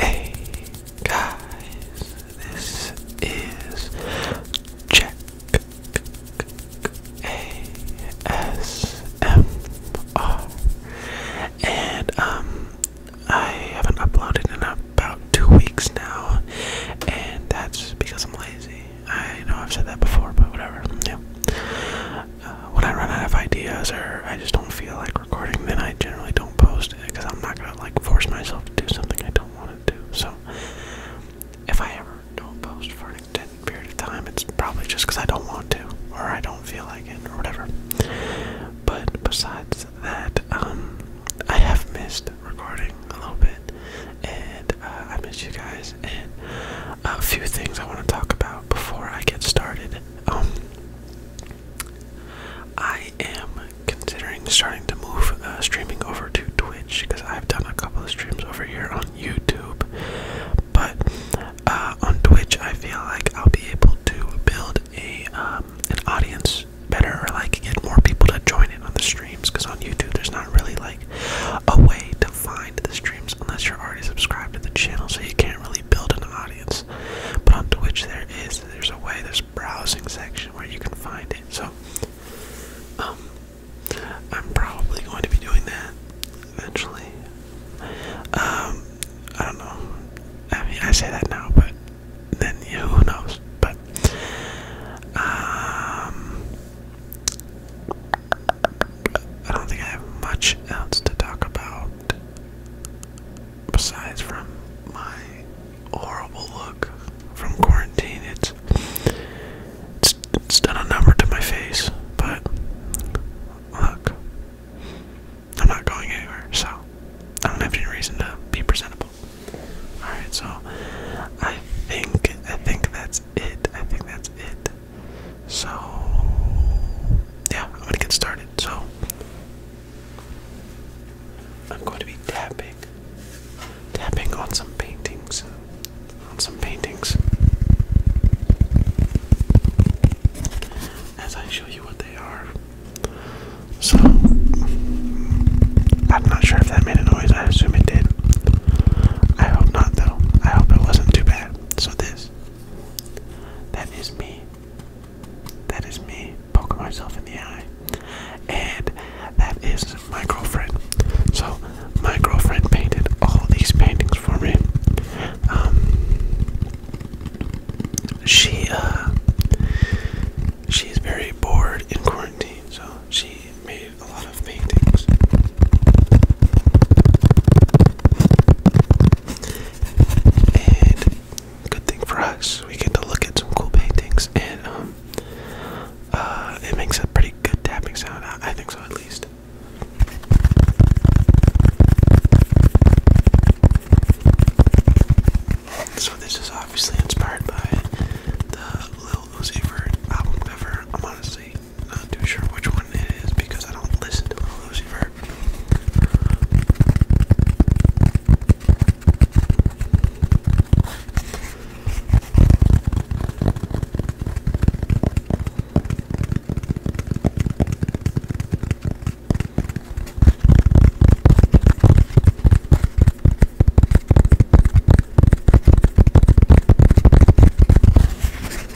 Hey guys, this is Check and um, I haven't uploaded in about two weeks now, and that's because I'm lazy. I know I've said that before, but whatever. Yeah. Uh, when I run out of ideas or I just don't feel like recording, then I generally don't post it because I'm not gonna like force myself to do something I don't want to do. So if I ever don't post for an extended period of time, it's probably just because I don't want to or I don't feel like it or whatever. But besides that, um, I have missed recording a little bit, and uh, I miss you guys. And a few things I want to talk about before I get started. Um, I am considering starting to move uh, streaming over to Twitch because I've done a couple of streams over here on YouTube, but uh, on Twitch I feel like I'll be able to build a um, an audience better or like get more people to join in on the streams because on YouTube there's not really like a way to find the streams unless you're already subscribed to the channel, so you can't really really an audience. But on Twitch, there is there's a way there's browsing section where you can find it. So, um, I'm probably going to be doing that eventually. Um, I don't know. I mean, I say that now, but then you know, who knows? But um, I don't think I have much else to talk about besides from my horrible look from quarantine. It's it's, it's done a number to my face, but look, I'm not going anywhere, so I don't have any reason to be presentable. All right, so I think I think that's it. I think that's it. So, yeah, I'm gonna get started. So, I'm going to be tapping, tapping on some paintings, on some paintings, as I show you what they are. So, I'm not sure if that made a noise. I assume it did. I hope not, though. I hope it wasn't too bad. So, this that is me. That is me poking myself in the eye. And that is my girlfriend. So my girlfriend painted all these paintings for me. Um, she uh, she's very bored in quarantine, so she made a lot of paintings. And good thing for us, we get to look at some cool paintings, and um, uh, it makes a pretty good tapping sound. I, think so, at least. So this is obviously inspired by the Lil Uzi Vert album cover. I'm honestly not too sure which one it is because I don't listen to Little Lucy Verb.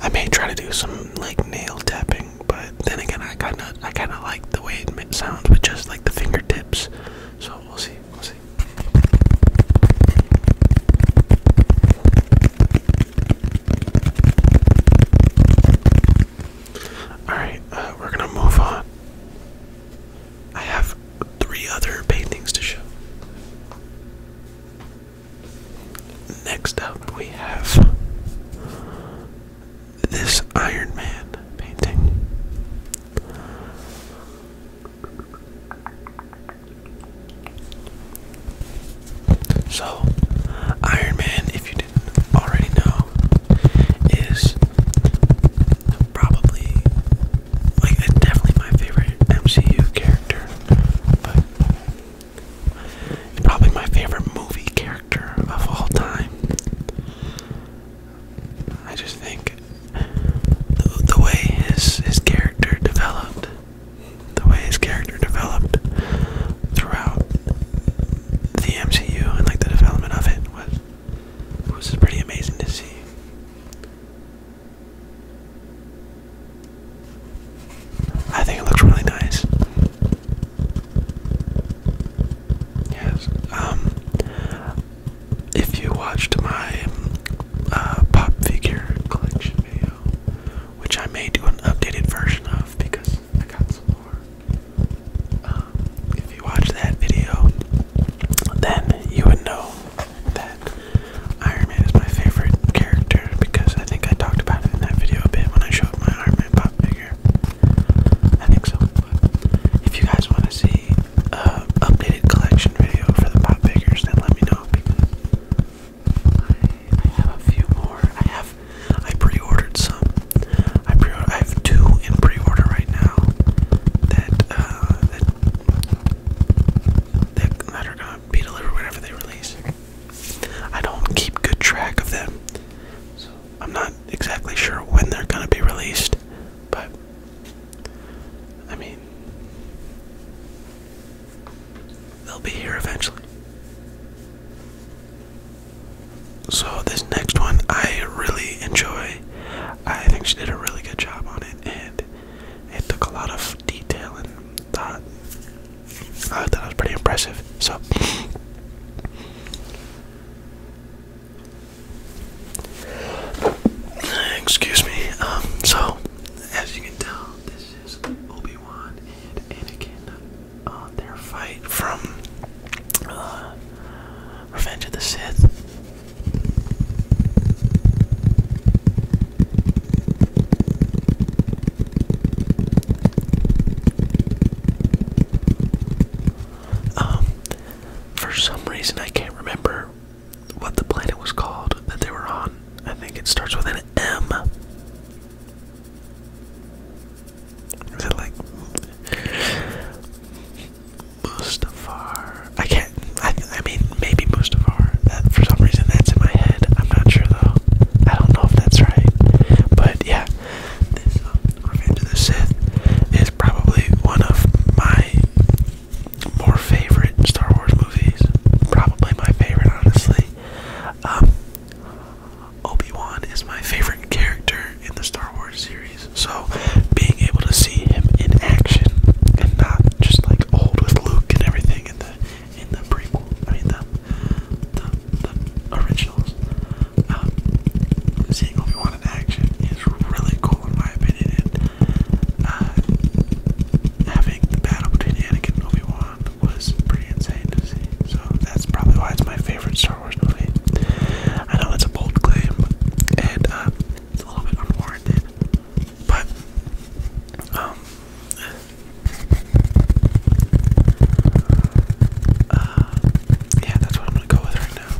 I may try to do some like nail tapping, but then again, I kind of I kind of like the way it sounds with just like the fingertips. So we'll see. We'll see. All right, uh, we're gonna move on. I have three other paintings to show. Next up, we have this Iron Man painting. So, Iron Man, if you didn't already know, is probably like definitely my favorite MCU character, Probably my favorite movie character of all time. I just think the, way his his character developed, the way his character developed throughout the MCU and like the development of it was was pretty amazing to see. I think it looks really nice. Yes. Um, if you watched my uh, pop figure collection video, which I may do an updated version of because I got some more. Um, if you watch that video, then you would know that Iron Man is my favorite character because I think I talked about it in that video a bit when I showed my Iron Man pop figure. I think so. if you guys want to see uh updated collection video for the pop figures, then let me know because I, have a few more. I have I pre-ordered some. I pre I have two in pre-order right now that uh, that, that are gonna be delivered whenever they release. I don't keep good track of them, so I'm not exactly sure when they're gonna be released, but I mean, they'll be here eventually. So, this next one I really enjoy. I think she did a really good job on it, and it took a lot of detail and thought I thought that was pretty impressive. So Excuse me. Um, so, as you can tell, this is Obi-Wan and Anakin on uh, their fight from uh, Revenge of the Sith. Um, for some reason, I can't remember what the planet was called that they were on. I think it starts with an M. Is it like Mustafar? I can't. I mean, maybe Mustafar. That for some reason that's in my head. I'm not sure though. I don't know if that's right. But yeah, this um, Revenge of the Sith is probably one of my more favorite Star Wars movies. Probably my favorite, honestly. Um, Obi Wan is my favorite character in the Star Wars series, so being able to see him in action and not just like old with Luke and everything in the in the prequel, I mean the the, originals. Um, seeing Obi Wan in action is really cool in my opinion. And, uh, having the battle between Anakin and Obi Wan was pretty insane to see. So that's probably why it's my favorite Star Wars movie. I know that's a bold claim, and uh, it's a little bit unwarranted, but um, uh, yeah, that's what I'm gonna go with right now.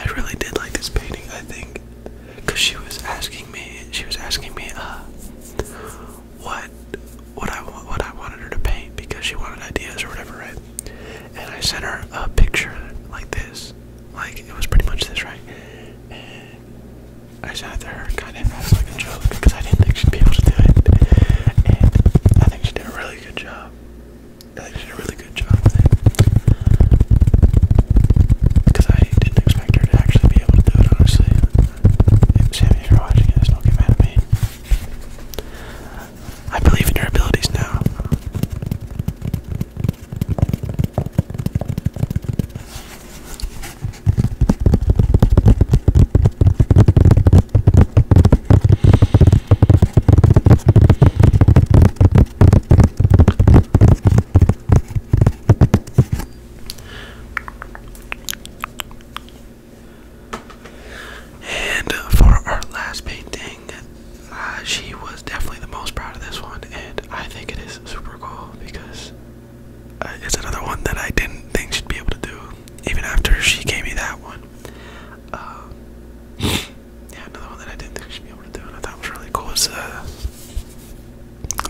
I really did like this painting something, I think, because she was asking me, she was asking me, uh, what, what I want, what I wanted her to paint because she wanted ideas or whatever, right? And I sent her a picture like this, like it was pretty much this, right? And I sent it to her kind of as like a joke because I didn't think she'd be able to do it, and I think she did a really good job. I did a really good job Because I didn't expect her to actually be able to do it, honestly. Sammy, if you're watching this, don't get mad at me. I believe in your abilities now. And for our last painting, uh, she was definitely the most proud of this one, and I think it is super cool because uh, it's another one that I didn't think she'd be able to do, even after she gave me that one. Um, yeah, another one that I didn't think I should be able to do, and I thought was really cool is uh,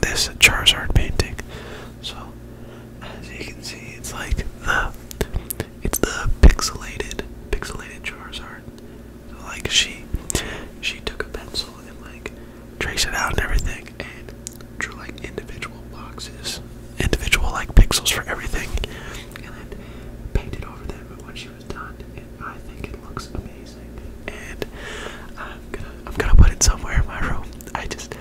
this Charizard painting. So, as you can see, it's like the it's the pixelated pixelated Charizard. So like she she took a pencil and like traced it out and everything, and drew like individual boxes, individual like pixels for everything, and then painted over them. But she done, and I think it looks amazing. And I'm gonna, I'm gonna put it somewhere in my room. I just,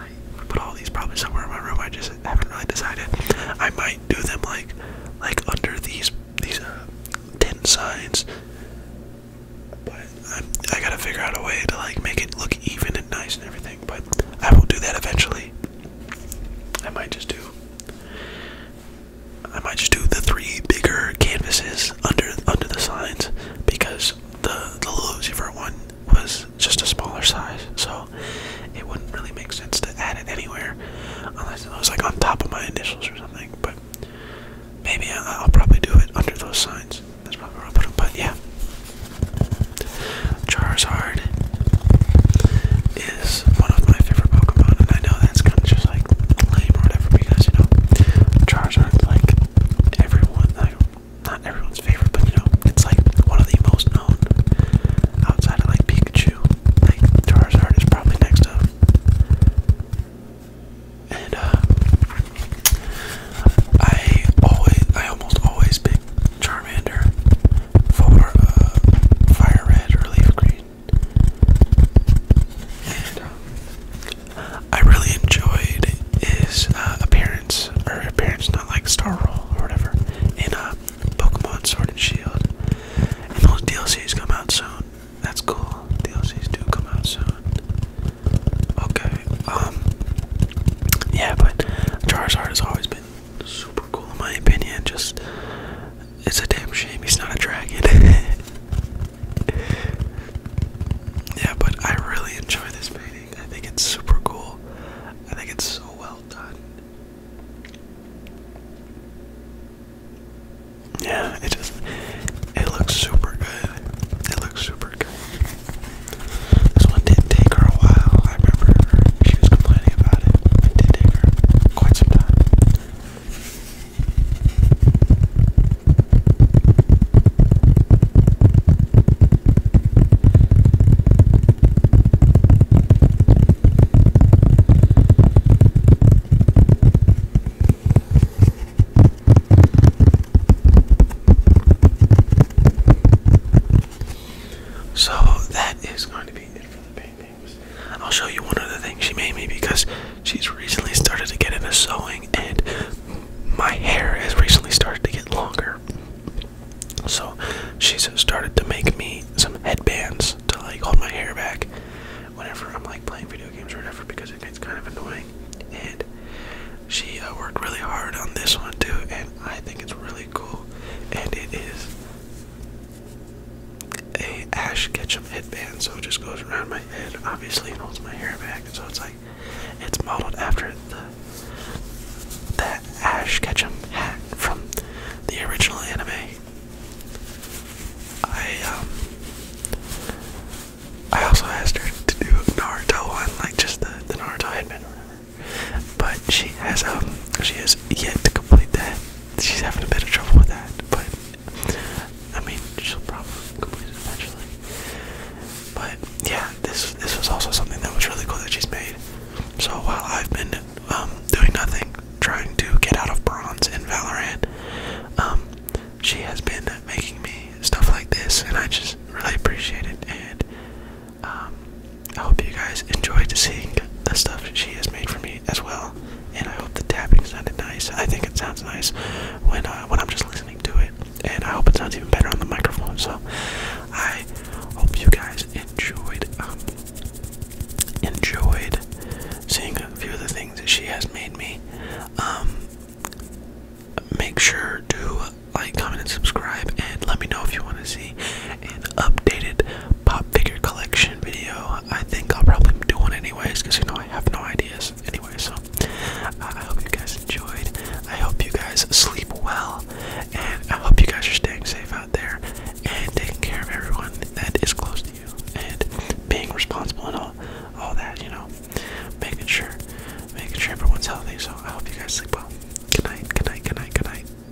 I put all these probably somewhere in my room. I just haven't really decided. I might do them like, like under these these uh, tin signs. But I'm, I i got to figure out a way to like make it look even and nice and everything. But I will do that eventually. I might just do I might just do the three bigger canvases under under the signs because the the Lucifer one was just a smaller size, so it wouldn't really make sense to add it anywhere unless it was like on top of my initials or something. But maybe I'll, probably do it under those signs. That's probably where I'll put them. But yeah, Charizard is one of my favorite Pokemon, and I know that's kind of just like lame or whatever because you know Charizard's like everyone, like not everyone's favorite, but you know it's like one of the most known outside of like Pikachu. Like Charizard is probably next up, and uh, I always, I almost always pick Charmander for uh, Fire Red or Leaf Green. Um, I really enjoyed his uh, appearance, or appearance not like Star Roll or whatever, in uh, Pokemon Sword and Shield. And those DLCs come out soon. That's cool. DLCs do come out soon. Okay. Um. Yeah, but Charizard has always been super cool in my opinion. Just it's a damn shame he's not a dragon. yeah, but I really enjoy this painting. I think it's super cool. I think it's so well done. Yeah, it just it looks super good. It looks super good. This one did take her a while. I remember she was complaining about it. It did take her so that is going to be it for the painting. I'll show you one other thing she made me because she's recently started to get into sewing and my hair has recently started to get longer. So she's started to make me some headbands to like hold my hair back whenever I'm like playing video games or whatever because it gets kind of annoying. And she uh, worked really hard on this one too, and I think it's really cool. And it is a Ash Ketchum headband, so it just goes around my head, obviously, and holds my hair back. and So it's like it's modeled after the that Ash Ketchum hat from the original anime. I um, I also asked her to do a Naruto one, like just the, the Naruto headband But she has um she has yet to complete that she's having a bit of trouble with that, but I mean, she'll probably complete it eventually. But yeah, this this was also something that was really cool that she's made. So while I've been um, doing nothing, trying to get out of bronze in Valorant, um, she has been making me stuff like this, and I just really appreciate it. And um, I hope you guys enjoyed seeing the stuff she has made for me as well, and I hope the tapping sounded nice. I think it sounds nice when uh, when I'm just listening to it, and I hope it sounds even better on the microphone. So I hope you guys enjoyed um, enjoyed seeing a few of the things that she has made me. Um, make sure to like, comment, and subscribe, and let me know if you want to see an updated pop figure collection video. I think I'll probably do one anyways because you know I have no ideas anyway. So uh, I hope you guys enjoyed. I hope you guys sleep well, and I hope you guys are staying safe out there and taking care of everyone that is close to you and being responsible and all, all that. You know, making sure, making sure everyone's healthy. So I hope you guys sleep well. Good night. Good night. Good night. Good night.